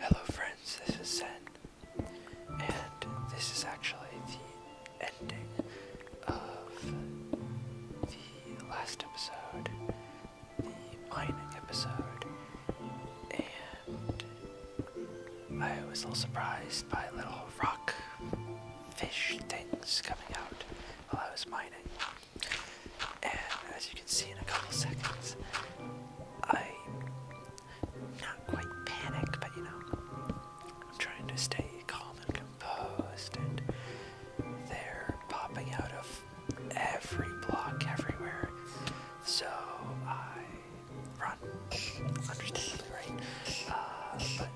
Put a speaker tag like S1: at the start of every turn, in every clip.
S1: Hello friends, this is Zen, and this is actually the ending of the last episode the mining episode, and I was a little surprised by little rock fish things coming out while I was mining. And as you can see in a couple seconds, I not quite panicked, but you know, I'm trying to stay calm and composed, and they're popping out of every block, everywhere. So I run, understandably, right? Uh, but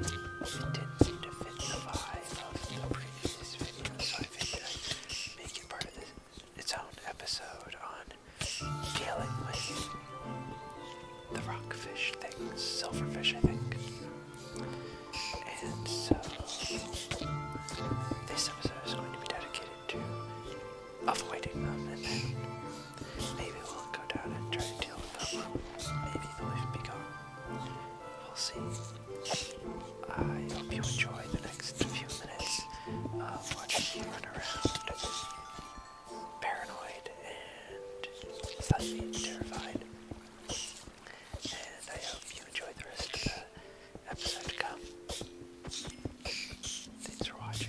S1: it didn't fit the vibe of the previous video, so I figured i make it part of this, its own episode on dealing with the rockfish thing, silverfish, I think. And so, this episode is going to be dedicated to avoiding them, and then maybe we'll go down and try to deal with them. Maybe they'll even be gone. We'll see. I hope you enjoy the next few minutes of watching me run around, paranoid and slightly terrified. And I hope you enjoy the rest of the episode come. Thanks for watching.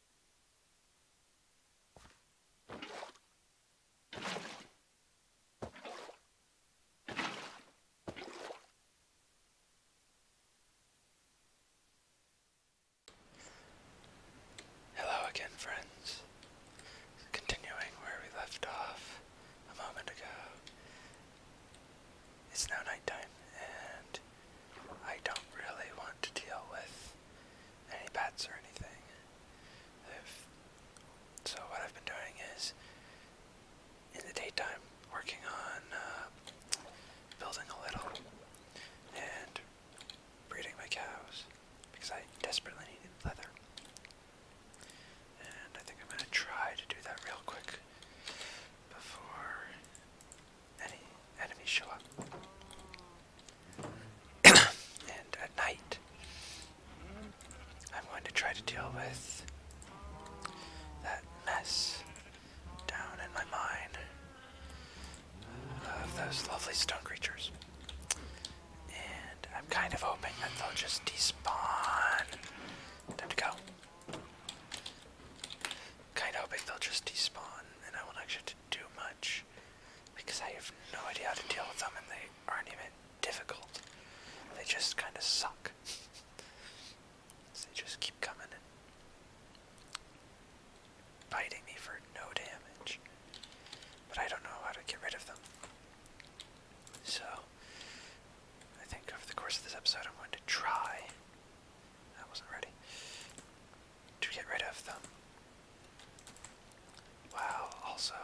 S1: Hello again, friends. Continuing where we left off a moment ago, it's now nighttime, and I don't really want to deal with any bats or anything. so what I've been doing is, in the daytime, working on uh, building a little and breeding my cows because I desperately need leather. And I think I'm going to try to do that real quick before any enemies show up. and at night, I'm going to try to deal with that mess down in my mind of those lovely stone creatures. And I'm kind of hoping that they'll just despawn. Time to go kind of they'll just despawn and I won't have to do much because I have no idea how to deal with them and they aren't even difficult. They just kind of suck. so they just keep coming and biting me for no damage. But I don't know how to get rid of them. So, I think over the course of this episode, I'm going to try I wasn't ready to get rid of them. While also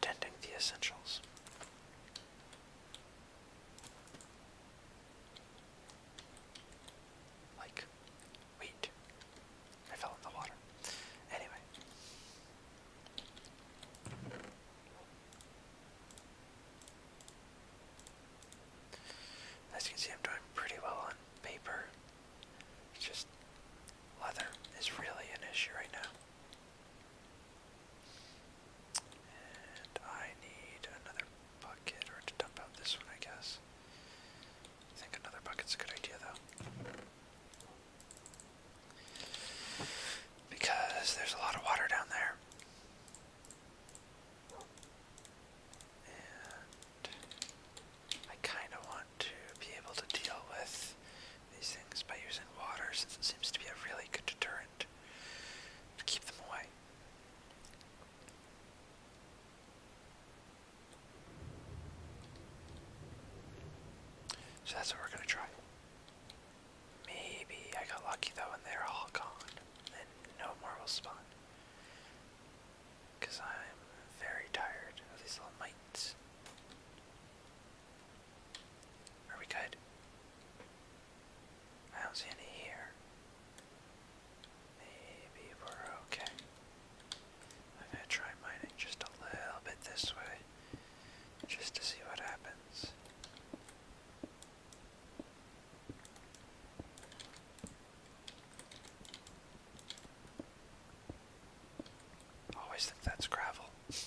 S1: tending the essentials. Like wheat. I fell in the water. Anyway. As you can see, I'm doing pretty well on paper. just leather is really an issue right now. And I need another bucket, or to dump out this one, I guess. I think another bucket's a good idea, though. Because there's a lot of water down there. And I kind of want to be able to deal with these things by using water since it seems to be a really good deterrent to keep them away. So that's what we're going to try. Maybe I got lucky though and they're all gone and no more will spawn. Because I'm very tired of these little mites. Are we good? I don't see any here. Maybe we're okay. I'm gonna try mining just a little bit this way, just to see what happens. Always oh, think that's gravel. it's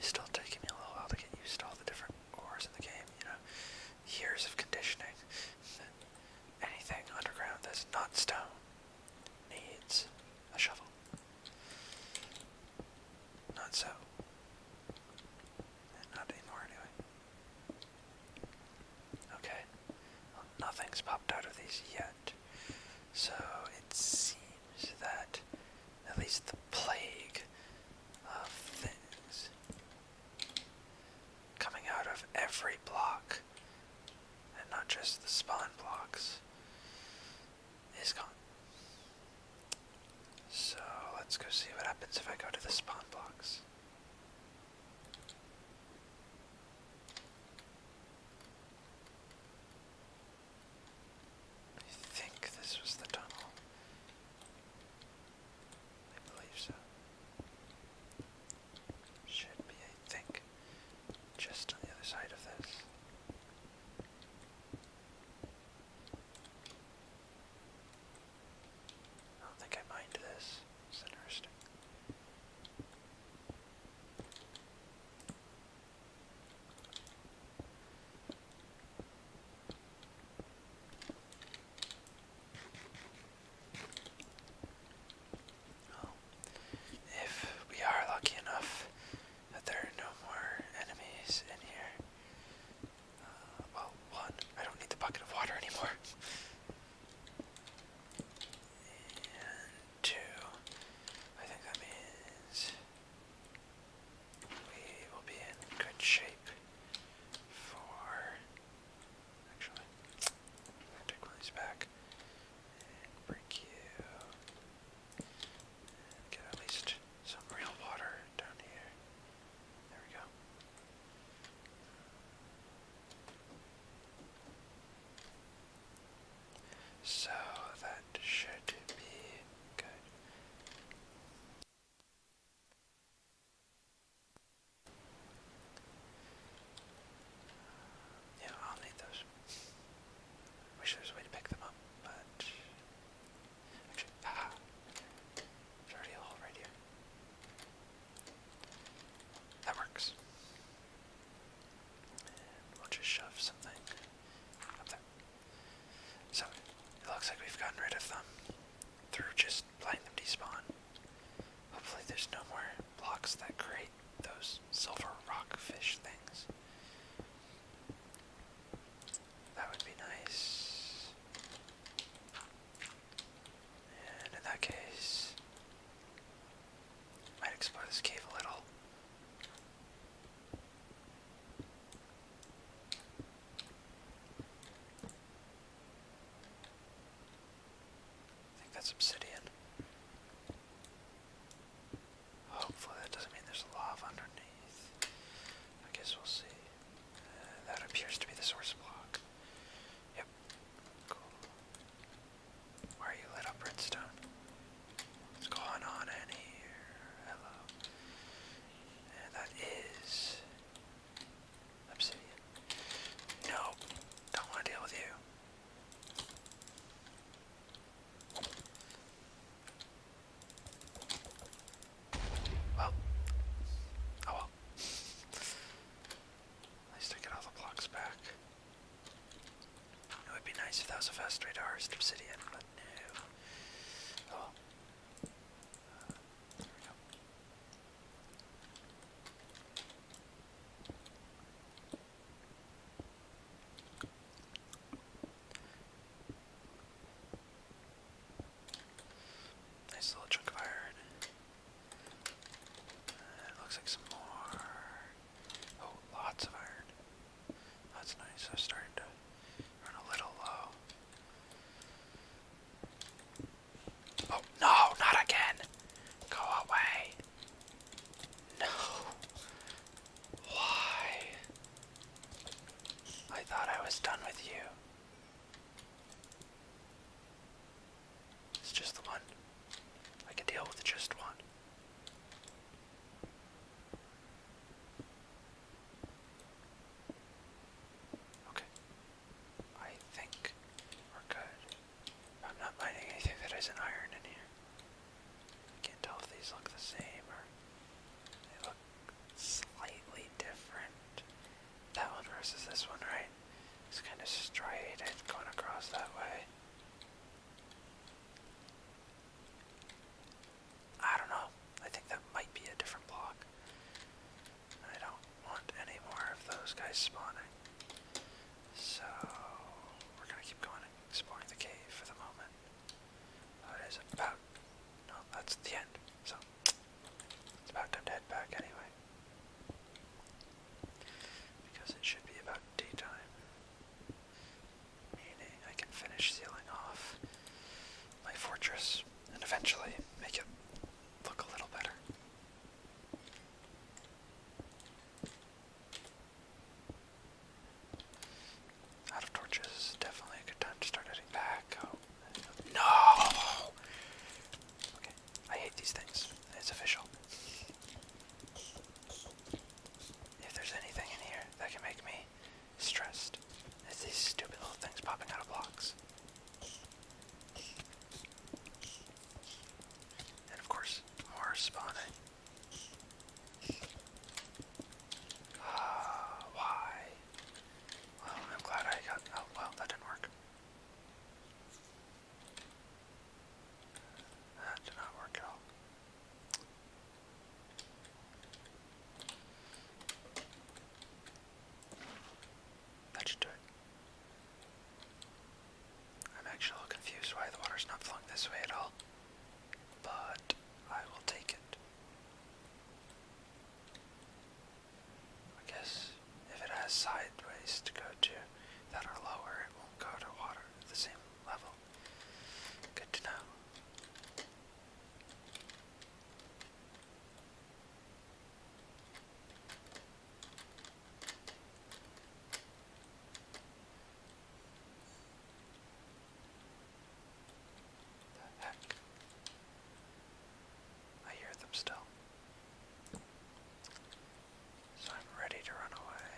S1: still taking me a little while to get used to all the different ores in the game, you know. Years of conditioning. Anything underground that's not stone needs a shovel. Not so. Not anymore, anyway. Okay. nothing's popped out of these yet. So it seems that at least the plague of things coming out of every block, and not just the spawn blocks, is gone. So let's go see what happens if I go to the spawn blocks. I think this was the tunnel. I believe so. Should be, I think, just on the other side of this. I don't think I mind this. It's interesting. Well, oh. if we are lucky enough that there are no more enemies in here, well, one, I don't need the bucket of water anymore. two, I think that means we will be in good shape for. Actually, I'm back and break you. get at least some real water down here. There we go. So that should be good. Yeah, I'll need those. Wish there a way to pick them up, but Actually, haha. There's already a hole right here. That works. And we just shove something up there. So, it looks like we've gotten rid of them through just letting them despawn. Hopefully, there's no more blocks that create those silver rockfish things. That would be nice. And in that case, might explore this cave a little. I think that's obsidian. Hopefully that doesn't mean there's lava underneath. I guess we'll see that appears to be the source block. Yep. Cool. Why are you lit up, redstone? What's going on in here? Hello. And that is obsidian. No, don't want to deal with you. Well, oh well. At least get all the blocks back. It would be nice if that was a fast way to harvest obsidian, but no. Oh well. Uh, Nice little chunk of iron. Uh, it looks like some more. Oh, lots of iron. That's nice. I'm starting to run a little low. Oh, no, not again. Go away. No. Why? I thought I was done with you. It's just the one. I can deal with just one. Okay. I think we're good. I'm not finding anything that isn't iron in here. can't tell if these look the same or they look slightly different. That one versus this one, right? It's kind of straight and going across that way. I don't know. I think that might be a different block. I don't want any more of those guys spawning. So, we're gonna keep going and exploring the cave for the moment. Oh, it is about. No, that's the end. So, it's about time to head back anyway. Because it should be about daytime. Meaning I can finish sealing off my fortress and eventually make it look a little better. Out of torches definitely a good time to start heading back. No! Okay, I hate these things. It's official. If there's anything in here that can make me stressed, it's these stupid little things popping out of blocks. And of course, more spawning. Uh, why? Well, I'm glad I got. Oh, well, that didn't work. That did not work at all. That should do it. I'm actually a little confused why the water's not flowing this way at all, but I will take it. I guess if it has sideways to go to that are lower, it won't go to water at the same level. Good to know. The heck? I hear them still. So I'm ready to run away.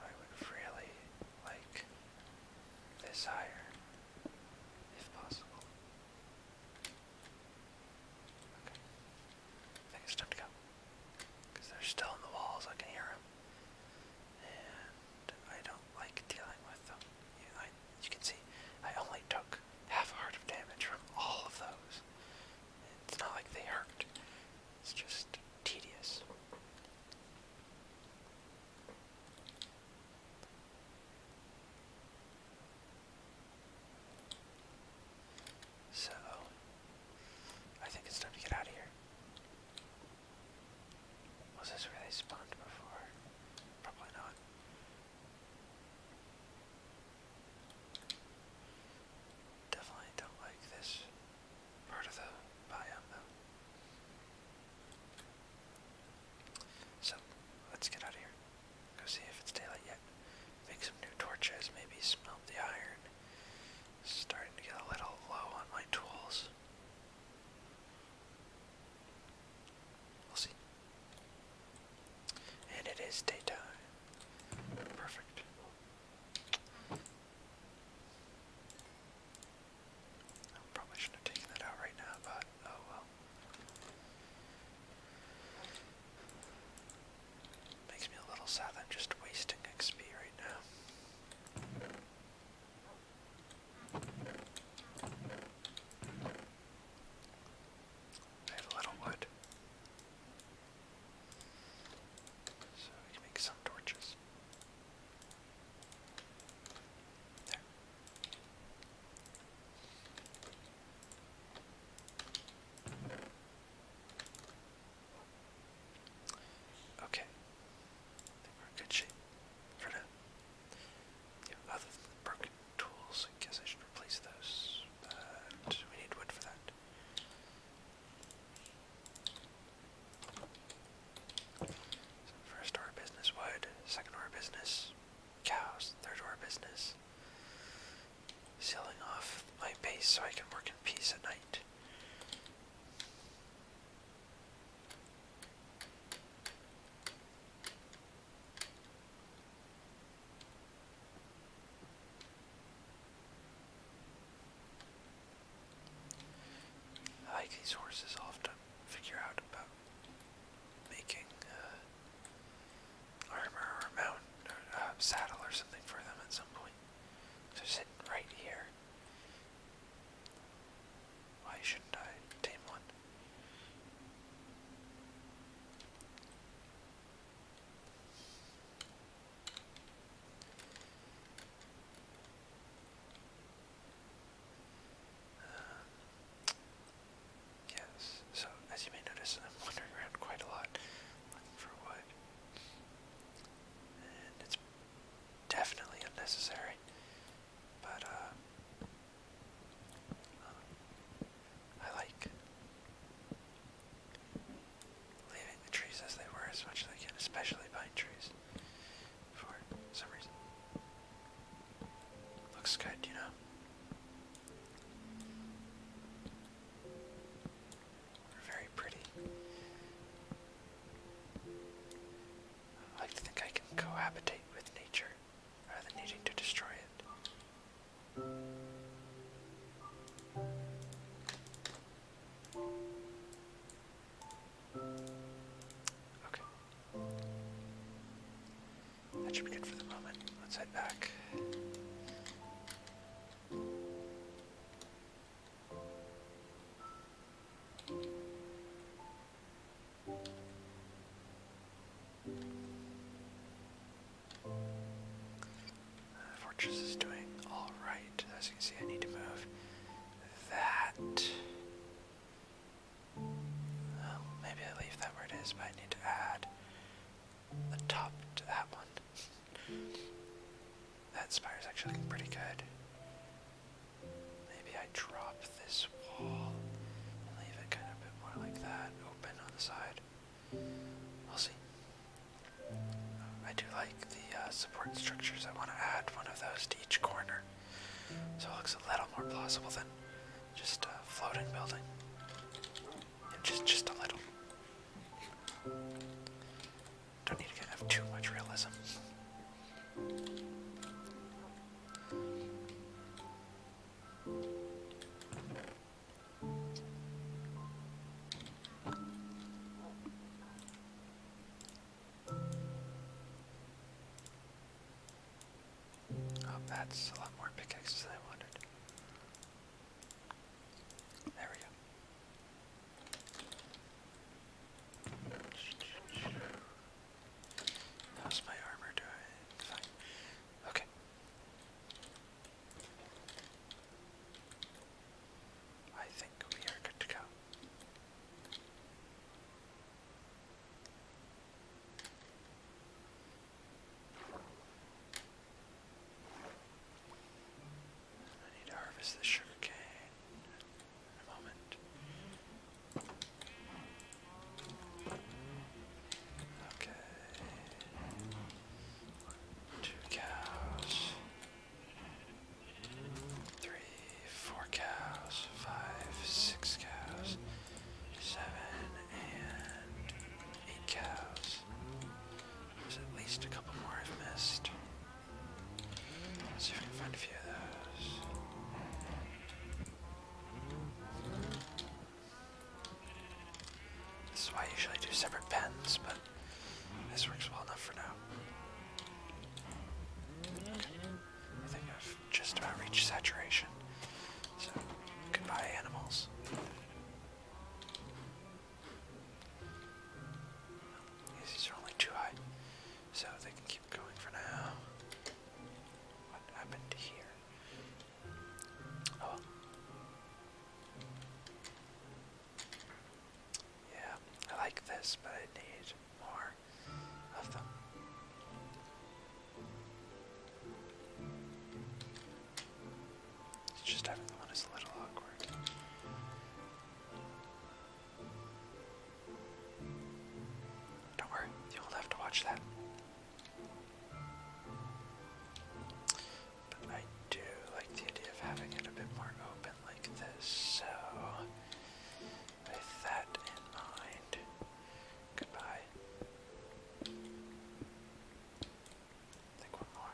S1: I would really like this higher, if possible. Okay. I think it's time to go. they're still in the walls, I can hear them. And I don't like dealing with them. You can see I only took half a heart of damage from all of those. It's not like they hurt. It's just tedious. So, I think it's time to get out of here. Was this where they spawned before? Probably not. Definitely don't like this part of the biome So let's get out of here. Go see if it's daylight yet. Make some new torches, maybe smelt the iron. Starting to get a little low on my tools. We'll see. And it is daytime. Perfect. probably shouldn't have taken that out right now, but oh well. Makes me a little sad. i just wasting XP right now. I have a little wood. So we can make some torches. There. Okay. we're in good shape for now other broken tools, I guess I should replace those. we need wood for that. first door of business wood, second door of business cows, third door of business sealing off my base so I can work in peace at night. I like these horses, i have to figure out about making uh, armor or a mount or uh, saddle or something for them at some point. they sitting right here. Why shouldn't I tame one? yes, so as you may notice, I'm wandering around quite a lot looking for wood. And it's definitely unnecessary, but uh, I like leaving the trees as they were as much as I can, especially pine trees, for some reason. Looks good, you know? We're very pretty. I think I can cohabitate with nature rather than needing to destroy it. Okay. That should be good for the moment. Let's head back. The fortress is doing all right. As you can see, I need to move that. Well, maybe I leave that where it is, but I need to add the top to that one. That spire's actually looking pretty good. Maybe I drop this wall and leave it kind of a bit more like that, open on the side. We'll see. I do like the uh, support structures. I want to add one of those to each corner so it looks a little more plausible than just a floating building. And just, just a little. Don't need to have too much realism. Oh, that's a lot more pickaxes than I wanted. There we go. How's my armor doing? Fine. Okay. I think we are good to go. I need to harvest the sugar Okay. Two cows. Three, four cows, five, six cows, seven, and eight cows. There's at least a couple more I've missed. Let's see if we can find a few of those. This is why I usually do separate pens, but this works well enough for now. I think I've just about reached saturation. So, goodbye, animals. These are only too high, so they can keep going for now. What happened here? Oh. Yeah, I like this, but I need more of them. just having one is a little awkward. Don't worry, you'll have to watch that. But I do like the idea of having it a bit more open like this, so with that in mind, goodbye. think one more.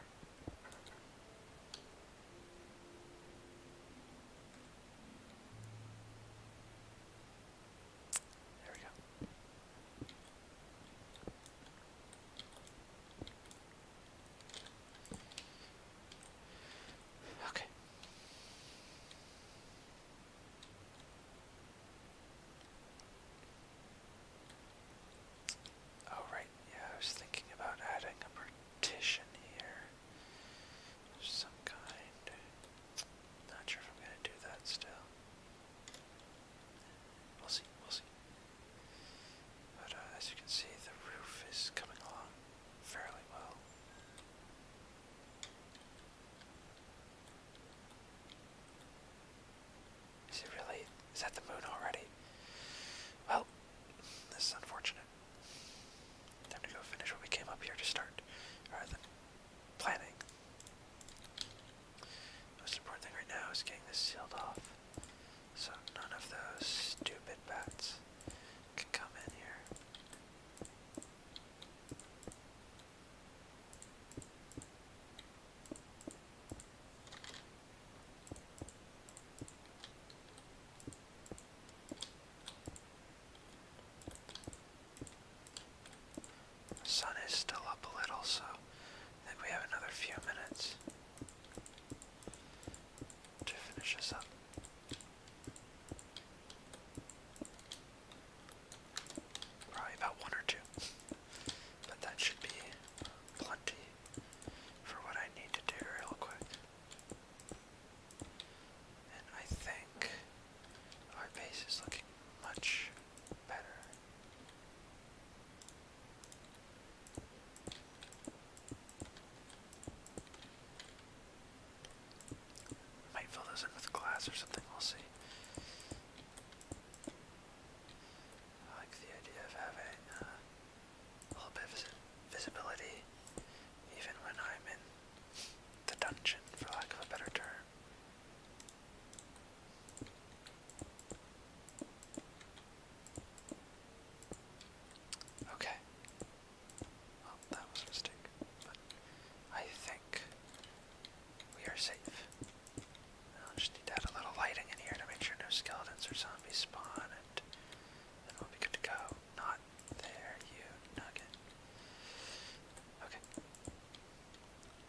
S1: There we go. Okay. Oh right, yeah, I was thinking about adding a partition here. Some kind. Not sure if I'm gonna do that still. We'll see, we'll see. But uh, as you can see, the roof is coming along fairly well. Is it really? Is that the moon already? Well, this is unfortunate. Time to go finish what we came up here to start. Alright then planning. Most important thing right now is getting this sealed off so none of those stupid bats can come in here. The sun is still up a little, so I think we have another few minutes to finish this up. Probably about one or two, but that should be plenty for what I need to do real quick. And I think our base is looking much better. Might fill those in with glass or something, we'll see. I like the idea of having uh, a little bit of visibility even when I'm in the dungeon, for lack of a better term. Okay. Well, that was a mistake, but I think we are safe. I'll just need to add a little lighting in here to make sure no skeletons or zombies spawn, and then we'll be good to go. Not there, you nugget. Okay.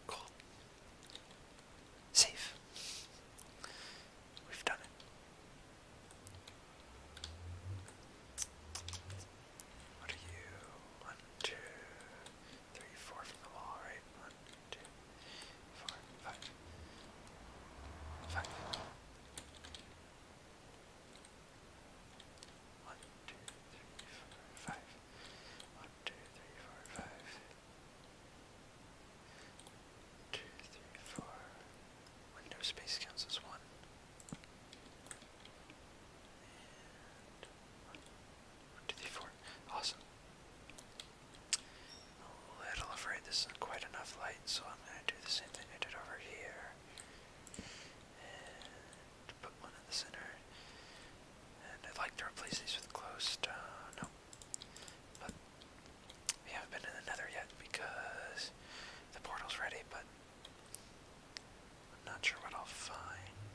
S1: Cool. Safe. We've done it. What are you? One, two, three, four from the wall, right? One, two, one, two, three, four, five. One, two, three, four, five. Two, three, four. Window space counts as one. And Awesome. a little afraid this isn't quite enough light, so I'm going to do the same thing I did over here put one in the center. And I'd like to replace these with closed. Uh, no. But we haven't been in the nether yet because the portal's ready, but I'm not sure what I'll find.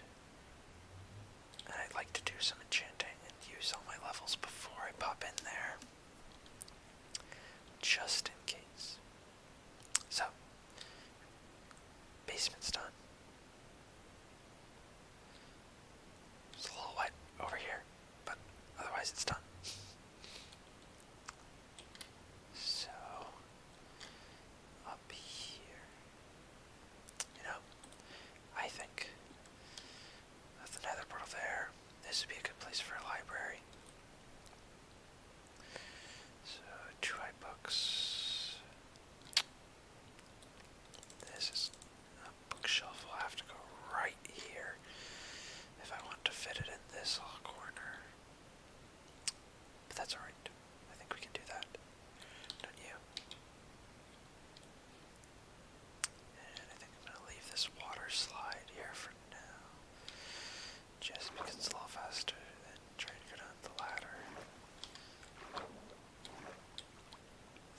S1: And I'd like to do some enchanting and use all my levels before I pop in there. Just in case. So, basement's done. It's a little wet over here, but otherwise it's done. So, up here, you know, I think that's another portal there. This would be a good place for a library. So try books. This is a bookshelf. Will have to go right here if I want to fit it in this little corner. But that's all right. I think we can do that. Don't you? And I think I'm gonna leave this water here for now just because it's a little faster than trying to go down the ladder.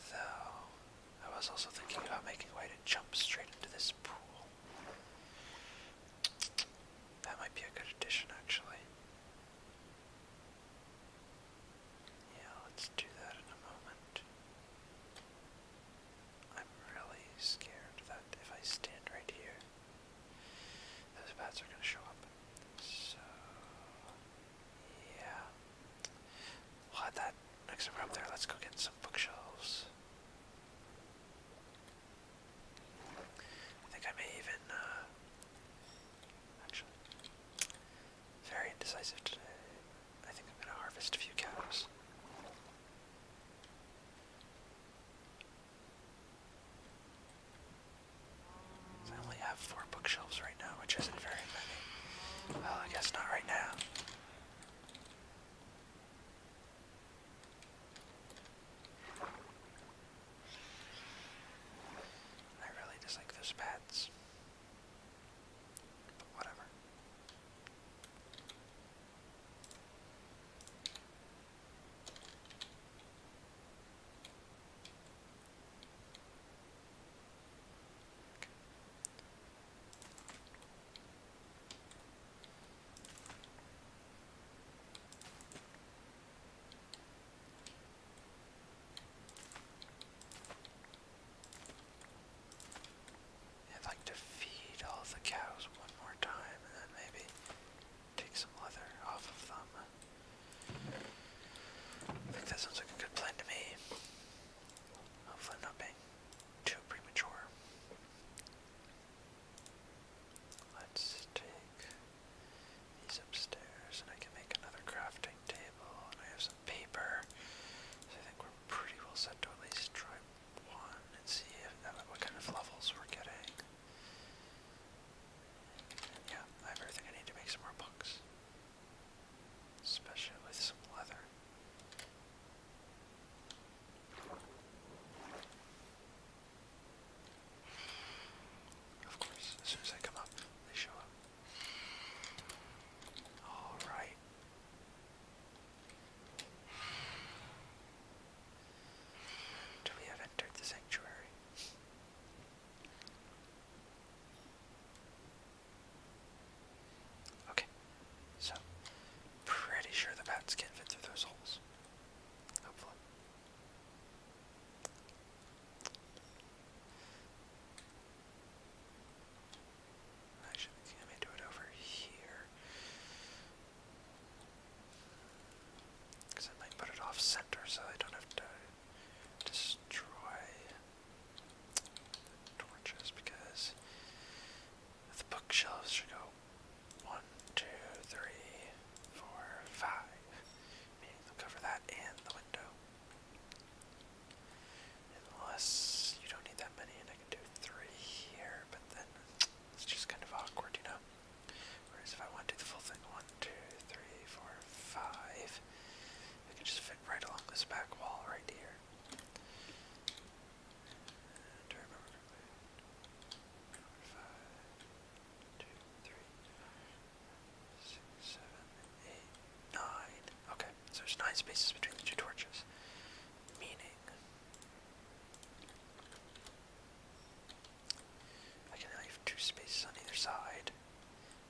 S1: Though, I was also thinking about making a way to jump straight into this pool. That might be a good addition, actually. Yeah, let's do that in a moment. I'm really scared that if I stand right here, those bats are going to show up. So, yeah. we that next time up there. Let's go get some bookshelves. I think I may even, uh, actually, very indecisive today. I think I'm going to harvest a few cows. I only have four bookshelves right now, which isn't very many. Well, I guess not right now. I really dislike those pads. But whatever. I'd like to feed all the cows one more time and then maybe Take some leather off of them. I think that sounds like a good plan to me. Hopefully not being too premature. Let's take these upstairs and I can make another crafting table and I have some paper. So I think we're pretty well set to at least try one and see uh, what kind of levels we're getting yeah, I have everything I need to make some more books. Especially with some leather. Of course, as soon as I come up, they show up. Alright till we have entered the sanctuary. Okay, so pretty sure the bats can fit through those holes. Hopefully. Actually, I may do it over here. Because I might put it off center so I don't have to destroy torches. Because the bookshelves should go one, two, three, four, five. Meaning they'll cover that and the window. Unless you don't need that many and I can do three here, but then it's just kind of awkward, you know? Whereas if I want to do the full thing, one, two, three, four, five, I can just fit right along this back wall right here. Do Okay, so there's nine spaces between the two torches. Meaning. I can leave two spaces on either side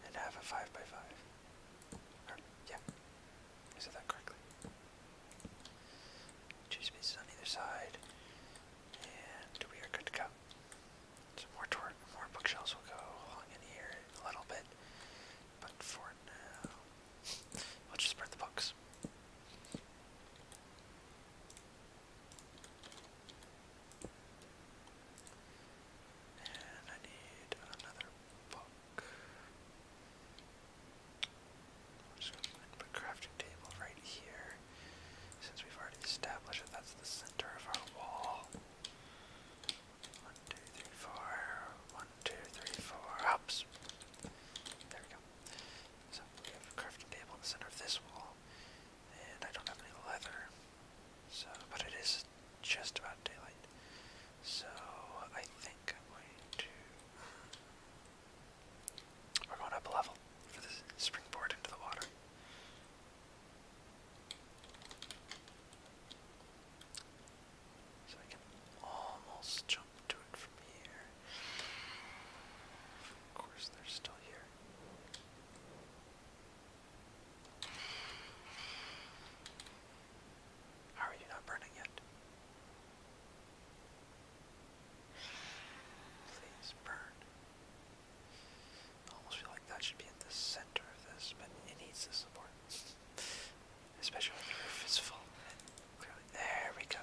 S1: and have a 5 by 5. yeah, I that correctly. Two spaces on either side, and we are good to go. So more, bookshelves will go along in here a little bit, but for now, we'll just burn the books. And I need another book. just going to put crafting table right here. Since we've already established that that's the center of our wall. One, two, three, four. One, two, three, four. Oops. There we go. So we have a crafting table in the center of this wall and I don't have any leather. So, but it is just about daylight. So I think I'm going to. We're going up a level for this springboard into the water. So I can almost jump to it from here. Of course, they're still here. How are you not burning yet? Please burn. I almost feel like that should be in the center of this, but it needs the support. Especially when the roof is full. Clearly. There we go.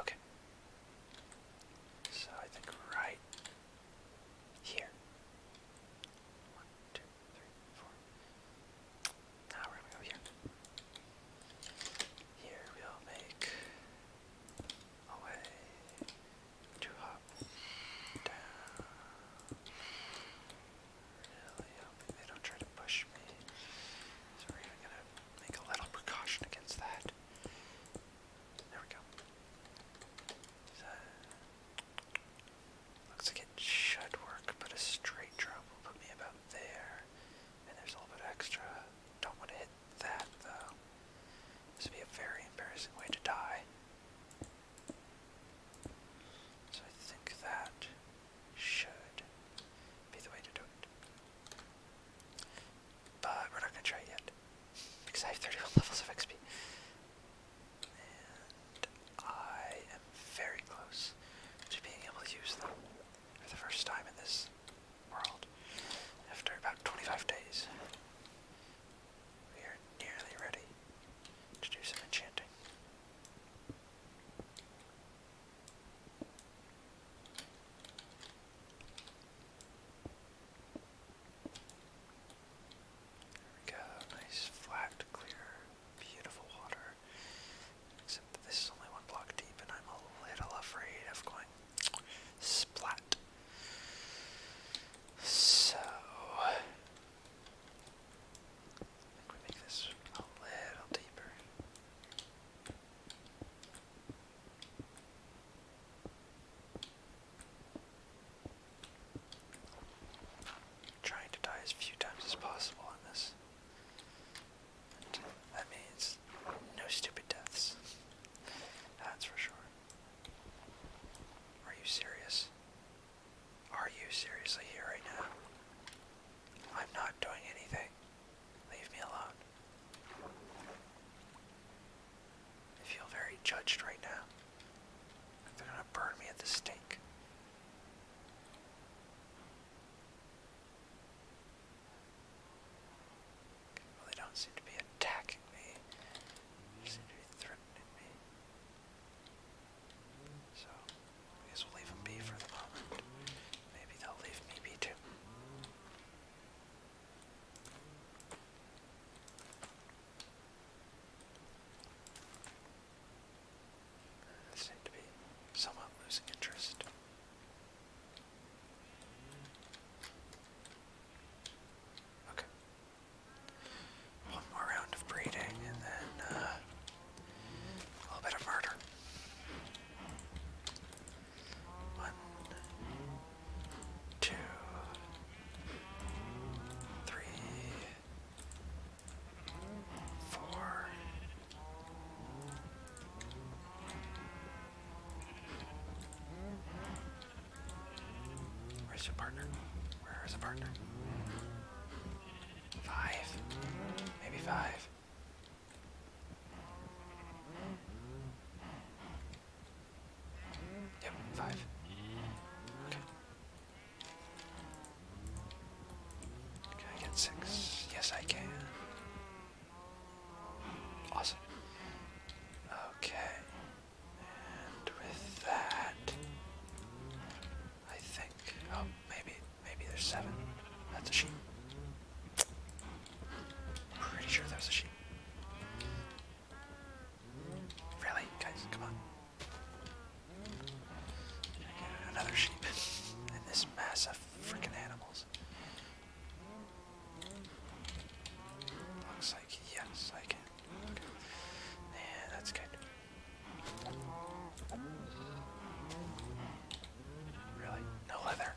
S1: Okay. So I think right here. One, two, three, four. Now we're gonna go here. Here we'll make a way to hop down. Really hoping they don't try to push me. So we're gonna Make a little precaution against that. There we go. So, looks like it should work, but a straight drop put me about there. And there's a little bit extra. Don't want to hit that though. This would be a very embarrassing way to die. So I think that should be the way to do it. But we're not gonna try it yet. Because I have 31 levels of XP. And I am very close to being able to use them for the first time in this world. After about 25 days, we are nearly ready to do some enchanting we nice flat, clear, beautiful water. Except this is only one block deep, and I'm a little afraid of going splat. So, I think make this a little deeper. Trying to die as few times as possible in this. that means no stupid deaths. That's for sure. Are you serious? Are you seriously here right now? I'm not doing anything. Leave me alone. I feel very judged right now. They're gonna burn me at the stake. Well, they don't seem to be attacking me. They seem to be threatening me. So, I guess we'll leave them be for the moment. Maybe they'll leave me be too. seem to be somewhat losing interest. Okay. One more round of breeding and then uh, a little bit of murder. One, two, three, four. Where's your partner? Where is a partner? Five.
S2: Maybe five. Yep, five.
S1: Okay. Can I get six? Yes, I can. Awesome. Okay. And with that, I think, oh, maybe Maybe there's seven. That's a sheep. Pretty sure there's a sheep. Really? Guys, come on. Another sheep. and this mass freaking animals. Looks like yes, I can. Yeah, that's good. Really? No leather.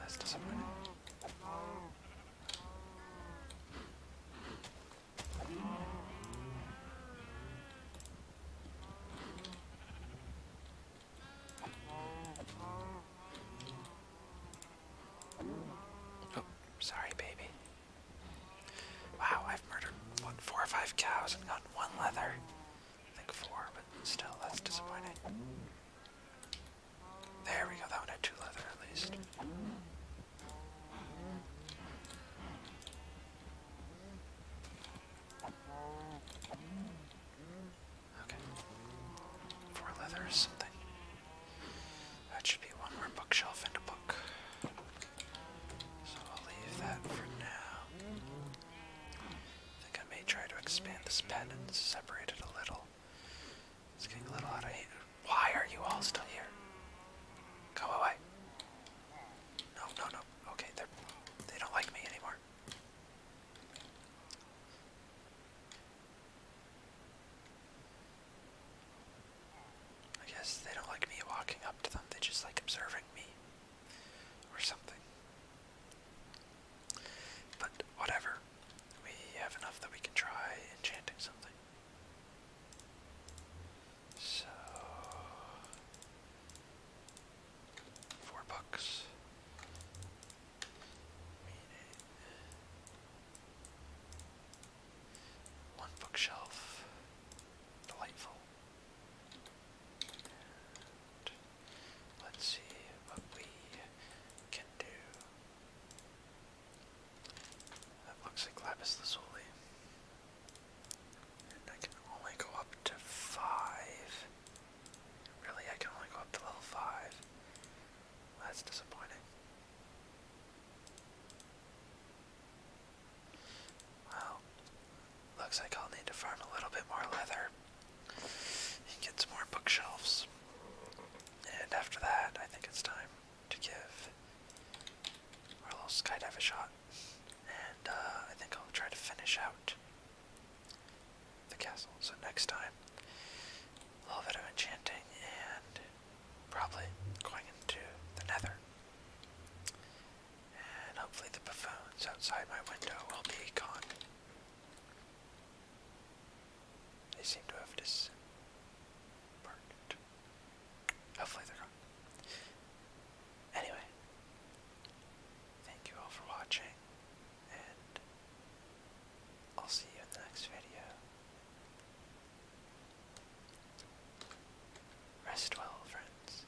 S1: That's disappointing. Oh, sorry, baby. Wow, I've murdered, four or five cows and gotten one leather think four, but still, that's disappointing. There we go, that one had two leather at least. Okay. Four leather or something. That should be one more bookshelf and a book. So I'll leave that for now. I think I may try to expand this pen and separate it a little. It's getting a little out of hand. Why are you all still here? Go away. No, no, no. Okay, they're they they do not like me anymore. I guess they don't like me walking up to them. They just like observing me or something. But whatever. We have enough that we can try enchanting something. So. Four bucks. one bookshelf. Delightful. Let's see what we can do. That looks like Lapis And I can only go up to five. Really, I can only go up to level five. That's disappointing. Well, Looks like I'll need to farm a little bit more leather and get some more bookshelves. And after that, I think it's time to give our little skydive a shot. And uh, I think I'll try to finish out the castle. So next time, a little bit of enchanting and probably going into the nether. And hopefully the buffoons outside my window will be gone. They seem to have dis Hopefully they're gone. Anyway, thank you all for watching, and I'll see you in the next video. Rest well, friends.